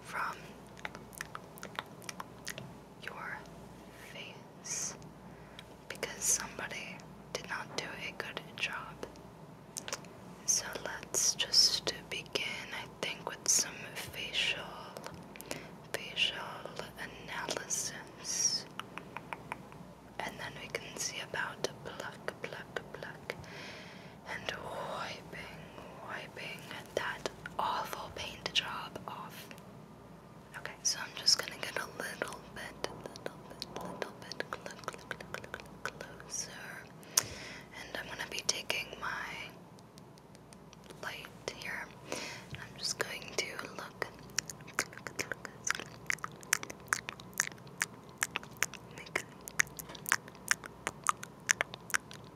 from your face because somebody did not do a good job. So let's just begin, I think, with some facial facial analysis. And then we can see about pluck, pluck, pluck and wiping, wiping that awful paint job off. Okay, so I'm just gonna get a little bit, little bit, little bit closer. And I'm gonna be taking my light here. And I'm just going to look,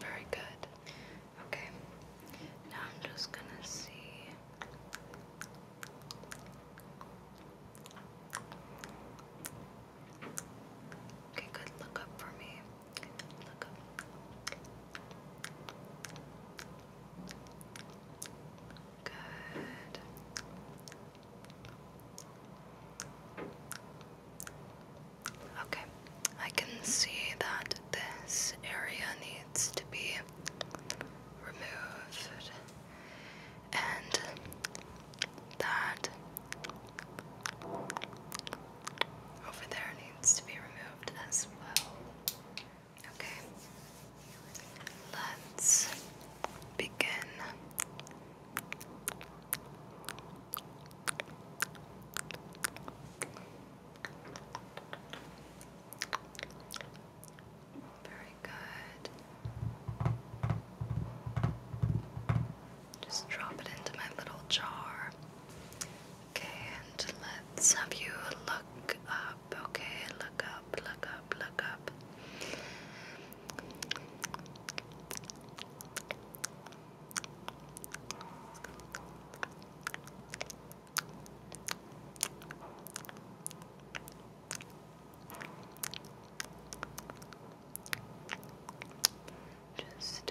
Very good. Okay. Now I'm just going to see. Okay, good. Look up for me. Look up. Good. Okay, I can see that this area needs to be removed and that over there needs to be removed as well. Okay, let's begin. Very good. Just drop it into my little jar. Okay, and let's have you look up. Okay, look up, look up, look up. Just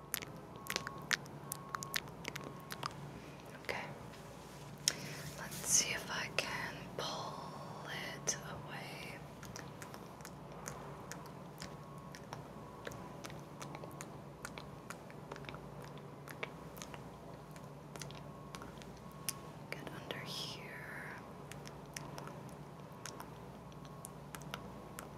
Okay. Let's see if I can pull it away. Get under here.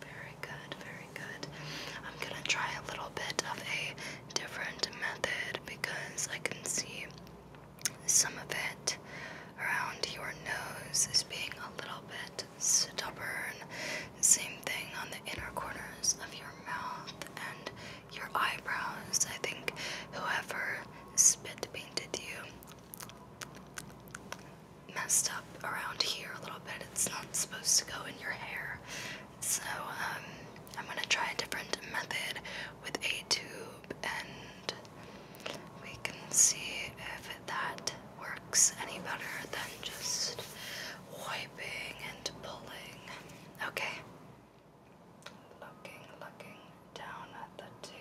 Very good, very good. I'm gonna try a little bit of a different method because I can see some of it around your nose is being a little bit stubborn. Same thing on the inner corners of your mouth and your eyebrows. I think whoever spit painted you messed up around here a little bit. It's not supposed to go in your hair. So um, I'm gonna try a different method with a tube and we can see if that works any better than just wiping and pulling. Okay. Looking, looking, down at the two,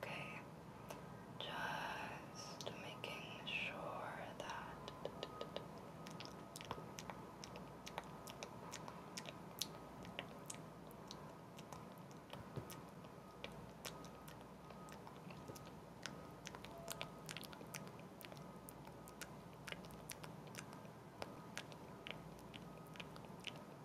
okay? Just making sure that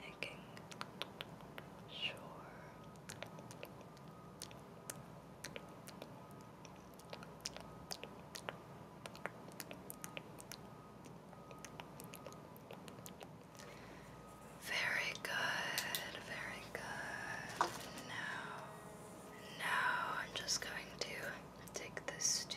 making sure very good, very good. Now, now I'm just going to take this to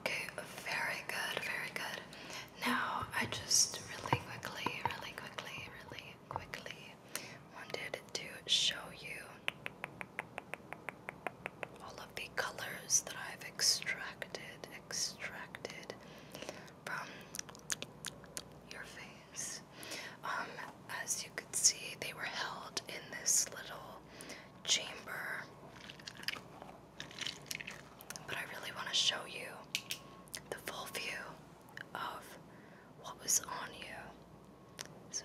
Okay, very good, very good. Now, I just really quickly, really quickly, really quickly wanted to show you all of the colors that I've extracted, extracted from your face. Um, as you could see, they were held in this little chamber. But I really want to show you the full view of what was on you. So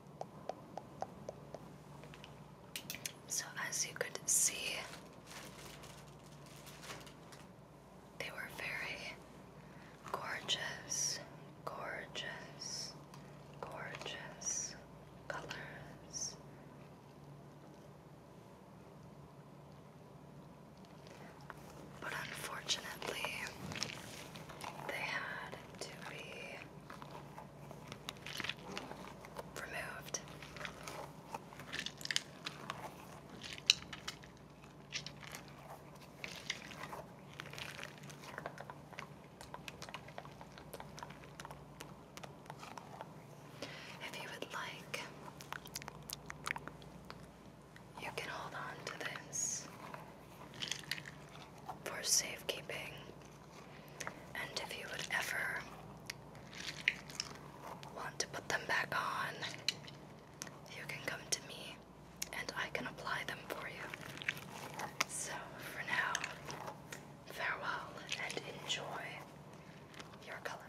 So, as you could see, they were very gorgeous, gorgeous, gorgeous colors. But unfortunately, they had to be removed. If you would like, you can hold on to this for safekeeping and if you would ever want to put them back on, you can come to me and I can apply them for you. So for now, farewell and enjoy your color.